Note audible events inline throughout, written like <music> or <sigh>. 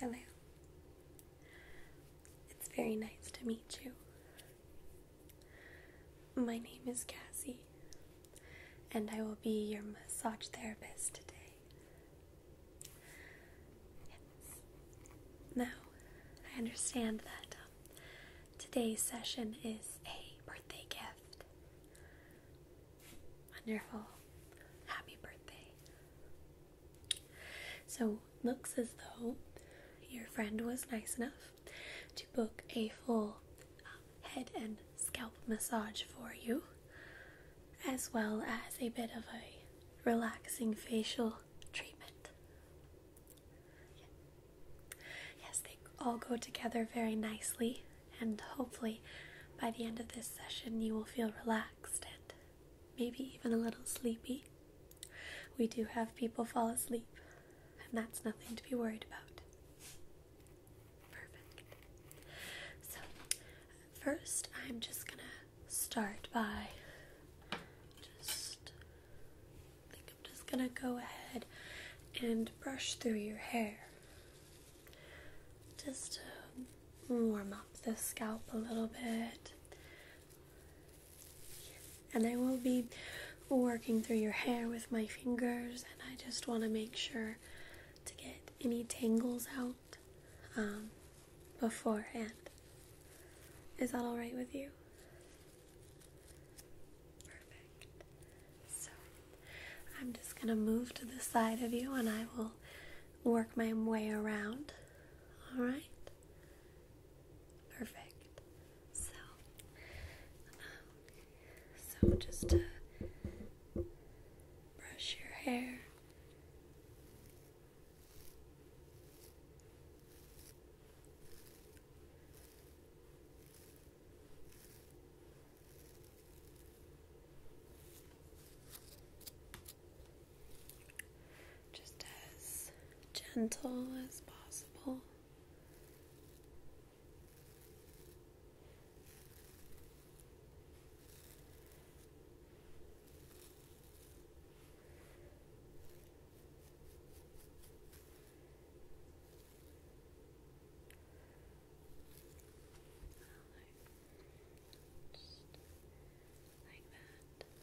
Hello. It's very nice to meet you. My name is Cassie, and I will be your massage therapist today. Yes. Now, I understand that um, Today's session is a birthday gift. Wonderful. Happy birthday. So, looks as though your friend was nice enough to book a full um, head and scalp massage for you, as well as a bit of a relaxing facial treatment. Yes, they all go together very nicely, and hopefully, by the end of this session, you will feel relaxed and maybe even a little sleepy. We do have people fall asleep, and that's nothing to be worried about. Perfect. So, first, I'm just gonna start by just I think I'm just gonna go ahead and brush through your hair just to warm up the scalp a little bit. And I will be working through your hair with my fingers, and I just want to make sure to get any tangles out um, beforehand. Is that alright with you? Perfect. So I'm just going to move to the side of you and I will work my way around. All right? Perfect. So, um, so just to brush your hair. Just as gentle as possible. Just like that. Okay.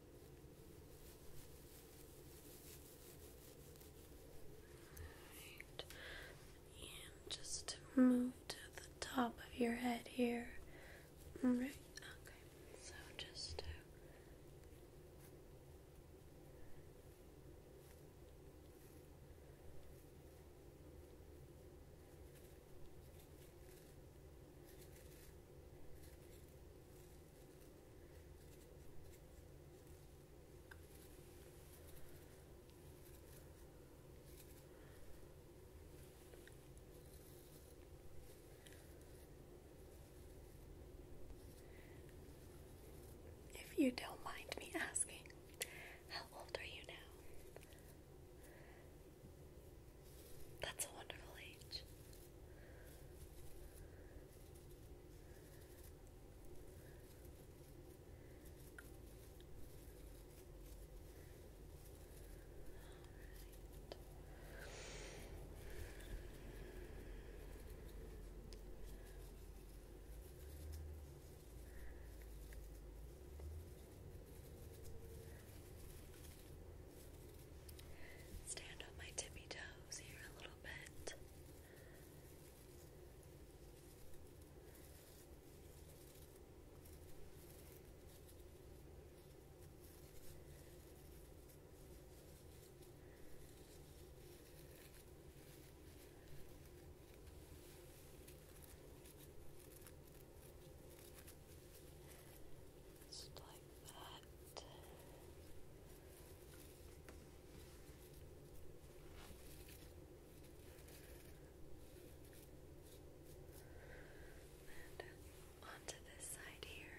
And just move to the top of your head here. All right. Okay. So just if you don't mind me asking, how old are you now? That's a wonderful age. Stand on my tippy toes nose here Just like that. And onto this side here.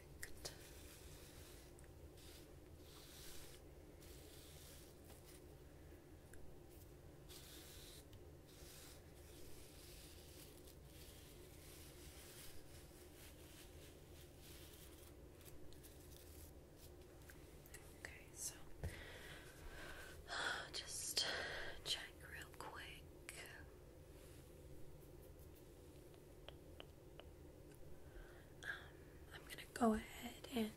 perfect. Okay, so <sighs> just check real quick. Um, I'm gonna go ahead and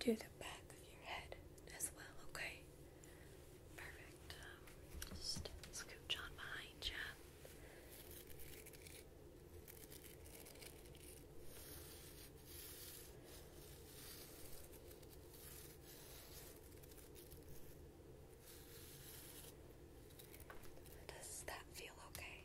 do the back of your head as well, okay? Perfect. Um, just scooch on behind you. Does that feel okay?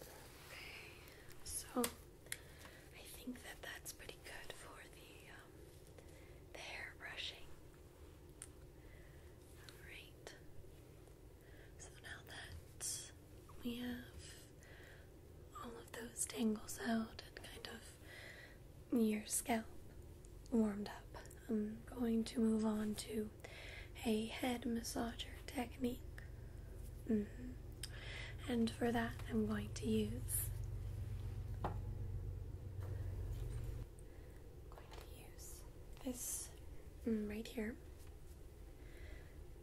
Okay, so I think that that's pretty good for the um, the hair brushing. All right. So now that we have all of those tangles out and kind of your scalp warmed up, I'm going to move on to a head massager technique. Mm-hmm. And for that, I'm going to use. this mm, right here.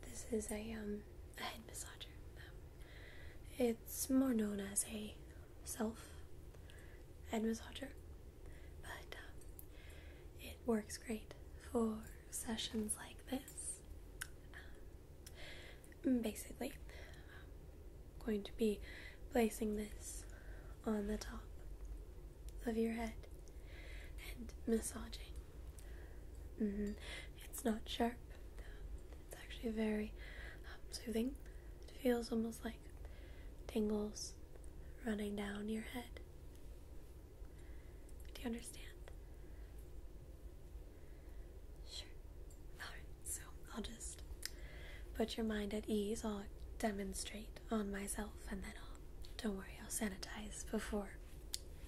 This is a um a head massager. it's more known as a self head massager, but um, it works great for sessions like this. Um, basically, going to be placing this on the top of your head and massaging. Mm-hmm. It's not sharp. It's actually very um, soothing. It feels almost like tingles running down your head. Do you understand? Sure. so I'll just put your mind at ease. I'll demonstrate on myself and then I'll, don't worry, I'll sanitize before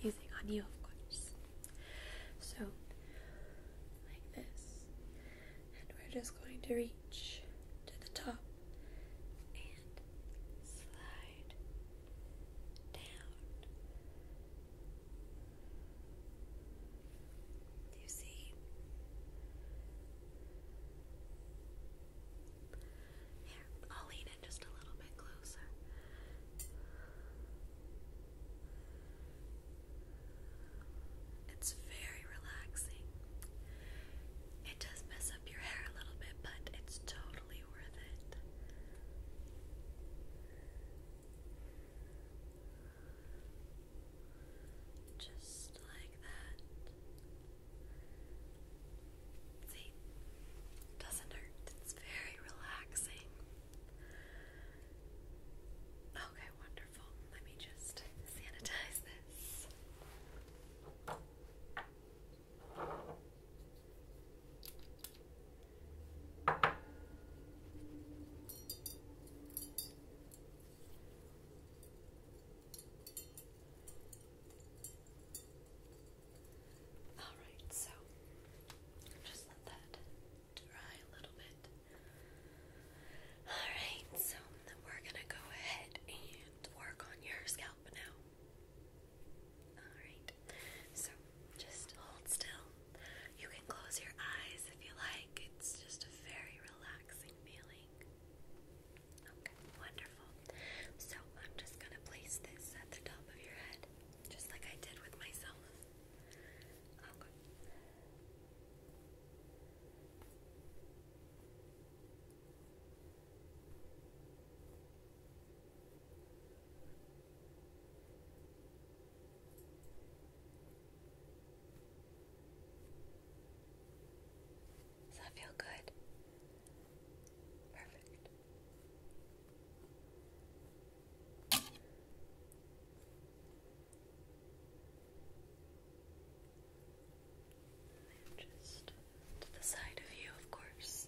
using on you, of course. So, like this. And we're just going to reach to the top and slide down. You see, here, I'll lean in just a little bit closer. It's very relaxing. It does mess up your hair a little bit, but it's totally just like that. See, doesn't hurt. It's very relaxing. Okay, wonderful. Let me just sanitize this. Alright, so just let that dry a little bit. Alright, so we're gonna go ahead and work on your scalp now. Alright, so just hold still. You can close your eyes if you like, it's just a very relaxing feeling. wonderful. So I'm just gonna place this at the top of your head, just like I did with myself. Does that feel good? Perfect. just to the side of you, of course.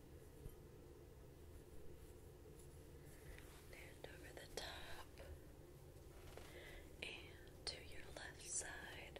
And over the top and to your left side.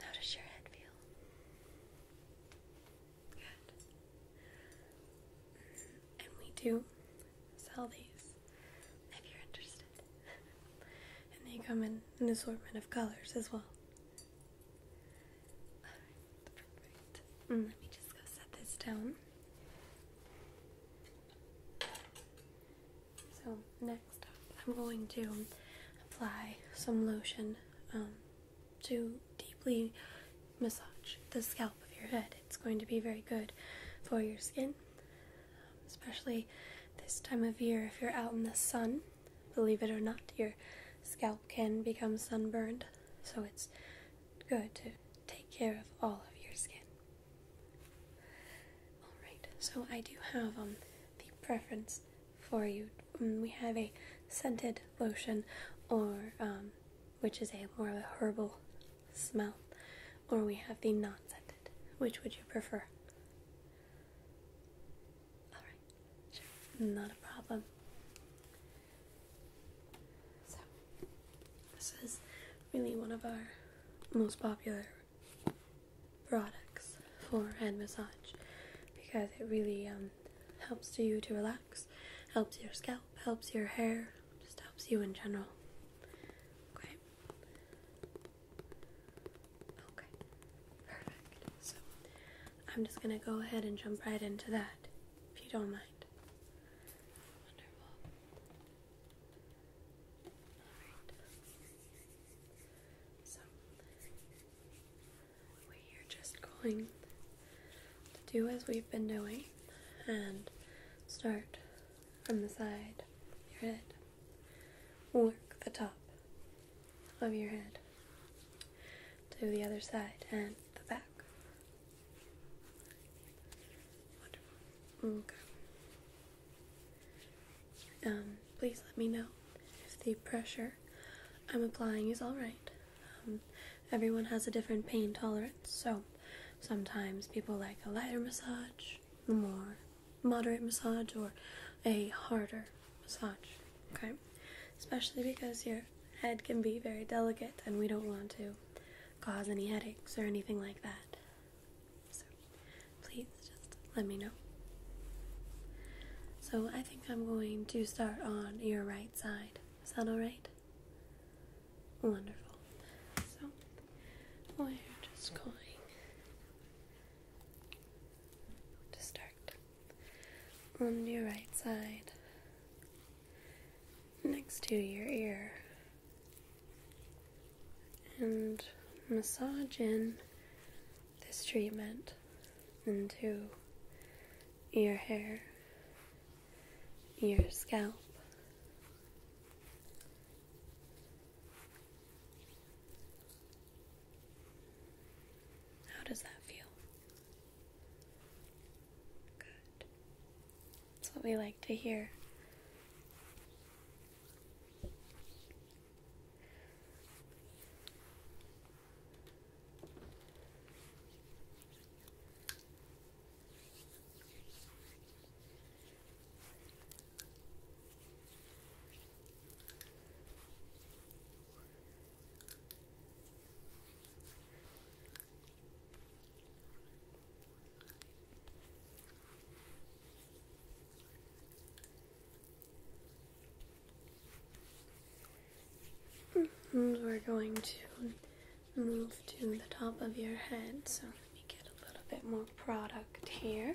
How does your head feel? Good. And we do sell these if you're interested. <laughs> and they come in an assortment of colors as well. Let me just go set this down. So, next up, I'm going to apply some lotion um, to deeply massage the scalp of your head. It's going to be very good for your skin, especially this time of year if you're out in the sun. Believe it or not, your scalp can become sunburned, so it's good to take care of all of your skin. Alright, so I do have um, the preference for you. Mm, we have a scented lotion, or um, which is a more of a herbal smell, or we have the non scented. Which would you prefer? Alright, sure, not a problem. So, this is really one of our most popular products for hand massage because it really um, helps you to relax, helps your scalp, helps your hair, just helps you in general. Okay. Okay. Perfect. So I'm just going to go ahead and jump right into that, if you don't mind. So, we are just going to do as we've been doing and start from the side of your head. Work the top of your head to the other side and the back. Okay. Um, please let me know if the pressure I'm applying is alright. Um, everyone has a different pain tolerance, so sometimes people like a lighter massage, a more moderate massage, or a harder massage, okay? Especially because your head can be very delicate and we don't want to cause any headaches or anything like that. So please just let me know. So I think I'm going to start on your right side. Is that alright? Wonderful. So we're just going to start on your right side next to your ear and massage in this treatment into your hair, your scalp. How does that feel? That's what we like to hear. Hmm, we're going to move to the top of your head. So let me get a little bit more product here.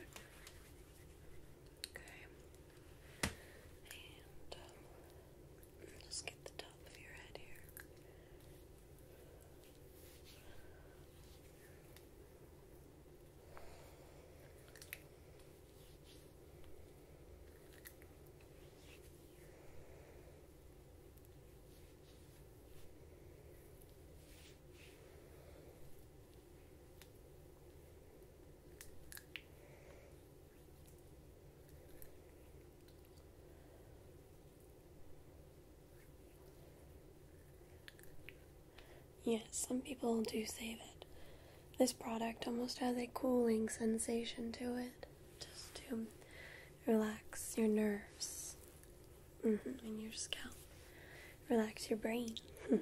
Okay. And just um, get the top of your head here. Yes, some people do save it. this product almost has a cooling sensation to it, just to relax your nerves mm-hmm, and your scalp, relax your brain. <laughs>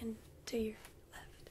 And to your left.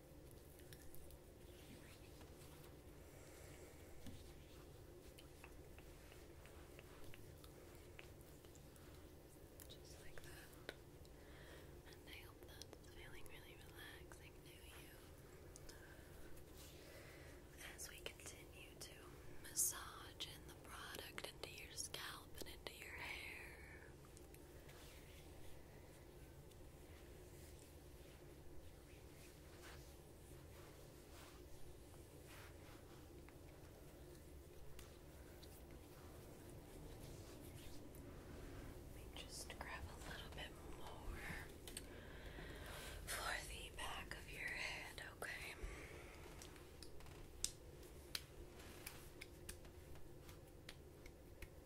Just like that. And I hope that's feeling really relaxing to you. As we continue to massage in the product into your scalp and into your hair. Just grab a little bit more for the back of your head, Okay.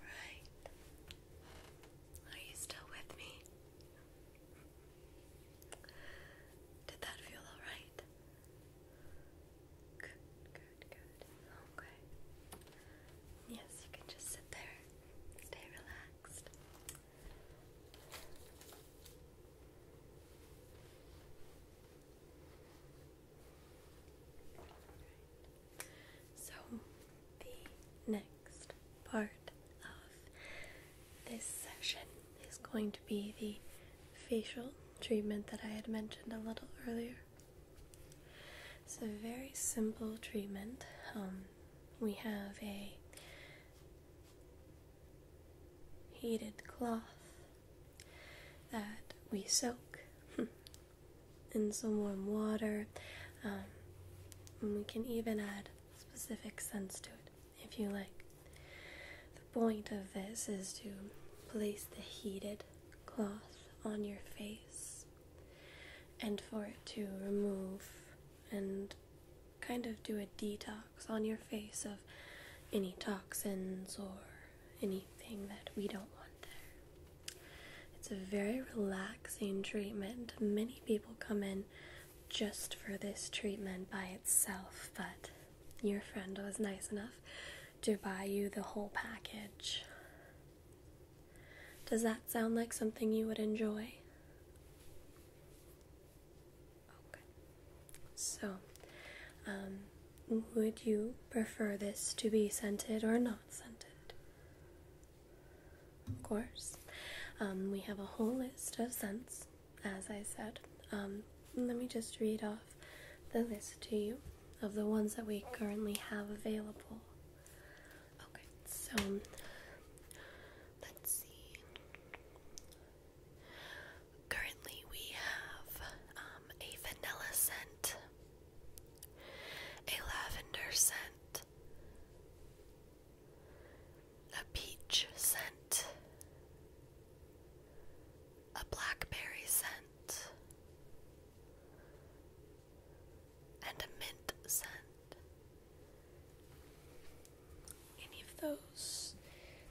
All right. Are you still with me? Did that feel all right? Good, good, good. Okay. Yes, you can just sit there. Stay relaxed. So, the next part of this session is going to be the facial treatment that I had mentioned a little earlier. It's a very simple treatment. Um, we have a heated cloth that we soak <laughs> in some warm water. Um, and we can even add specific scents to it if you like. The point of this is to place the heated cloth on your face and for it to remove and kind of do a detox on your face of any toxins or anything that we don't want there. It's a very relaxing treatment. Many people come in just for this treatment by itself, but your friend was nice enough to buy you the whole package. Does that sound like something you would enjoy? Okay. So, um, would you prefer this to be scented or not scented? Of course. Um, we have a whole list of scents as I said. Um, let me just read off the list to you of the ones that we currently have available. Okay, so let's see. Currently, we have um, a vanilla scent, a lavender scent, a peach scent, a blackberry scent, and a mint scent. Any of those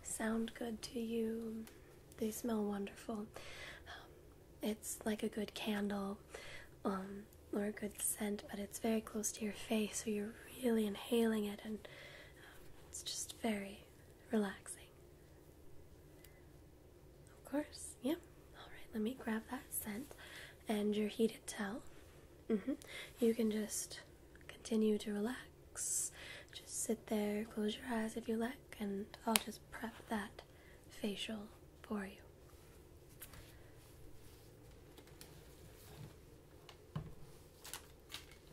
sound good to you? They smell wonderful. Um, it's like a good candle um, or a good scent, but it's very close to your face, so you're really inhaling it, and um, it's just very relaxing. Of course, Yep. Alright, let me grab that scent and your heated towel. Mm-hmm. You can just continue to relax. Just sit there, close your eyes if you like, and I'll just prep that facial for you.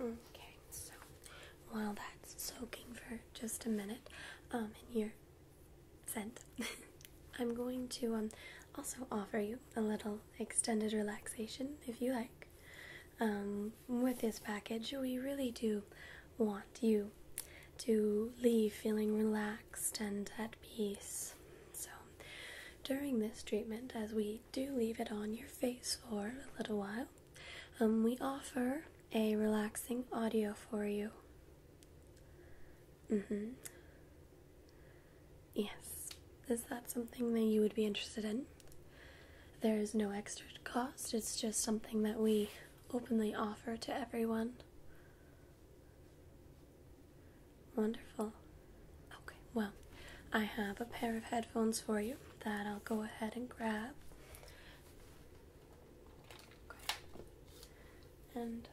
Okay, so while that's soaking for just a minute um, in your scent, <laughs> I'm going to um, also offer you a little extended relaxation if you like. Um, with this package, we really do want you to leave feeling relaxed and at peace. So during this treatment, as we do leave it on your face for a little while, um, we offer a relaxing audio for you. Mm hmm. Yes. Is that something that you would be interested in? There is no extra cost, it's just something that we openly offer to everyone. Wonderful. Okay, well, I have a pair of headphones for you that I'll go ahead and grab. And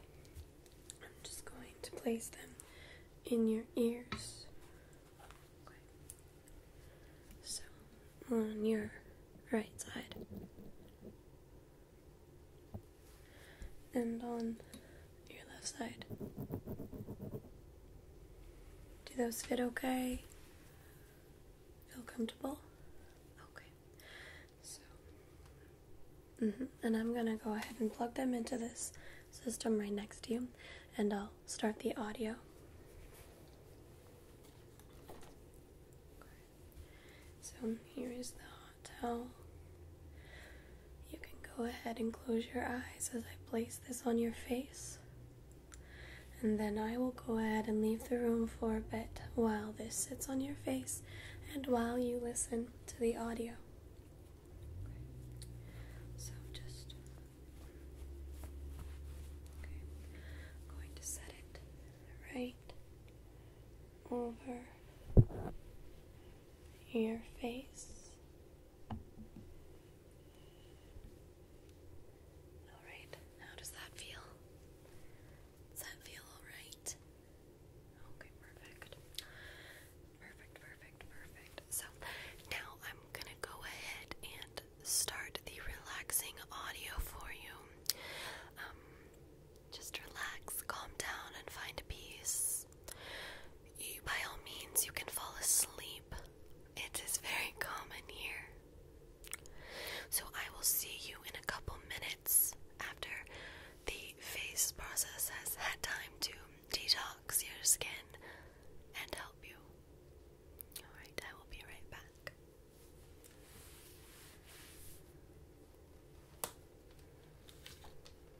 I'm just going to place them in your ears. So, on your right side and on your left side. Do those fit okay? Feel comfortable? Okay. So, mm-hmm. and I'm gonna go ahead and plug them into this system right next to you, and I'll start the audio. So, here is the hot towel. You can go ahead and close your eyes as I place this on your face. And then I will go ahead and leave the room for a bit while this sits on your face and while you listen to the audio. So just going to set it right over your face. All right, how does that feel? Does that feel all right? Okay, perfect. Perfect, perfect, perfect. So now I'm gonna go ahead and start the relaxing audio for you. Um, just relax, calm down, and find peace. You, by all means, you can fall asleep. It is very common here. So I will see you in a couple minutes after the face process has had time to detox your skin and help you. Alright, I will be right back.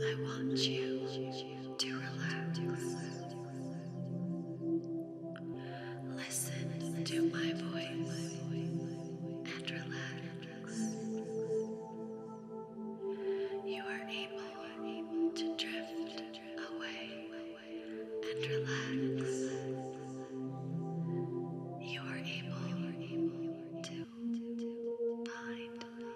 I want you to relax. Listen to my voice and relax. You are able to drift away and relax. You are able to find. You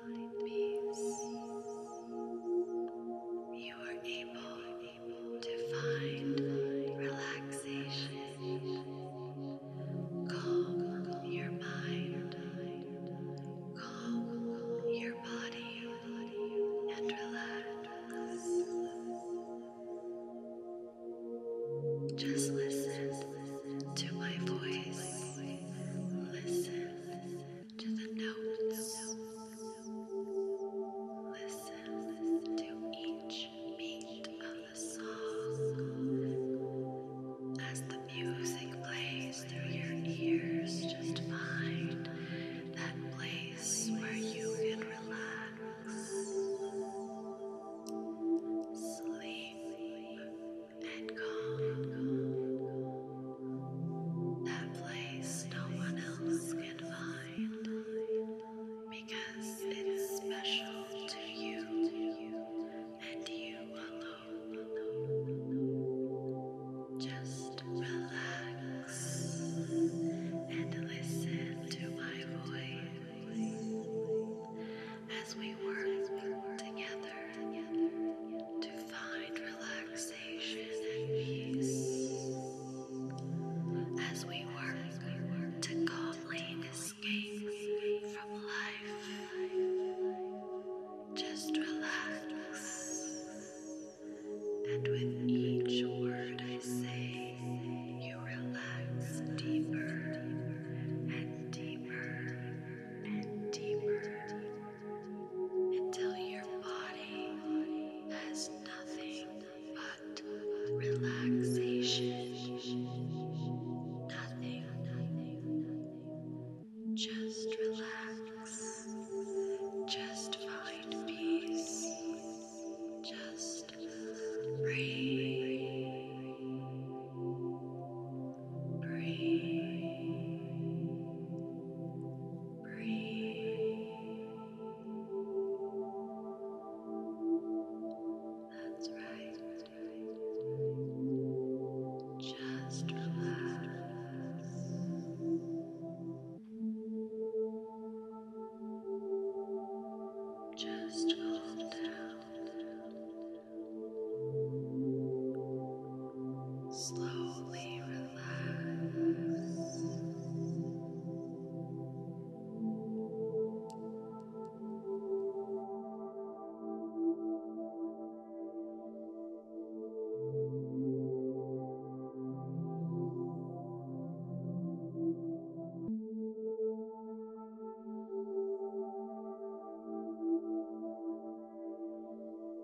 are able to find relaxation. Calm your mind, calm your body, and relax. Just listen to my voice. Listen to the notes. Listen to each beat of the song as the music plays through your ears. Just find that place where you can relax. Sleep and That place no one else can find because it's special to you and you alone. Just relax and listen to my voice as we work together to find relaxation and peace as we work to calmly escape from life. Just relax, and with each word I say, you relax deeper and deeper and deeper until your body has nothing but relaxation. Nothing, just relax, just find peace, just breathe. Breathe. Breathe. That's right. Just relax. Just calm down. Slowly relax.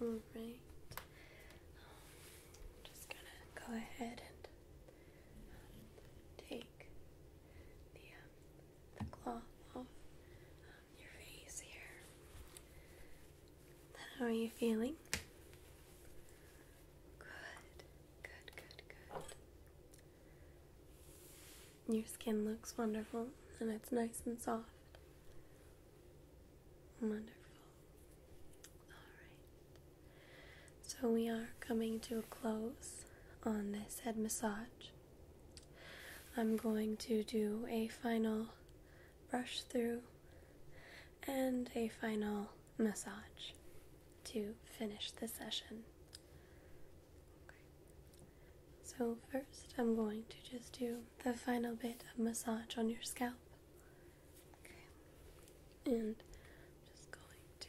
All just gonna go ahead and take the um, the cloth off your face here. How are you feeling? Good, good, good, good. Your skin looks wonderful and it's nice and soft. Wonderful. All right. So, we are coming to a close on this head massage. I'm going to do a final brush through and a final massage to finish the session. So, first, I'm going to just do the final bit of massage on your scalp. And just going to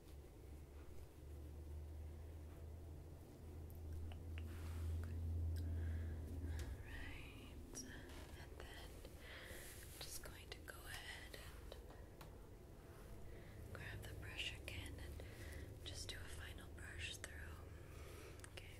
Alright, and then I'm just going to go ahead and grab the brush again and just do a final brush through. Okay.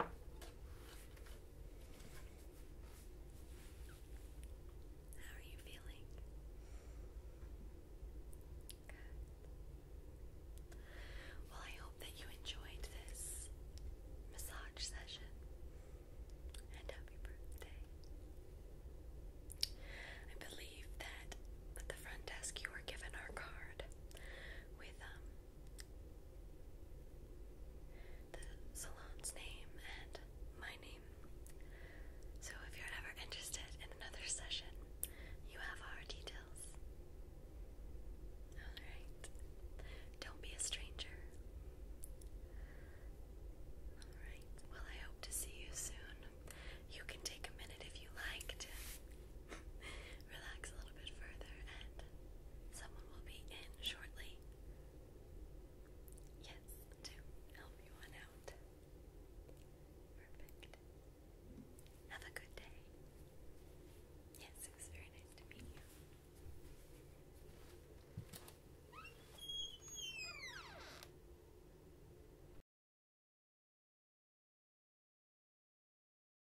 How are you feeling? Well, I hope that you enjoyed this massage session. And happy birthday. I believe that at the front desk you were given our card with um the salon's name and my name. So if you're ever interested in another session, you have our details. Alright. Don't be a stranger. Alright. Well, I hope to see you soon. You can take a minute if you like to <laughs> relax a little bit further and Someone will be in shortly. Yes, to help you out. Perfect. Have a good day. Yes, it was very nice to meet you.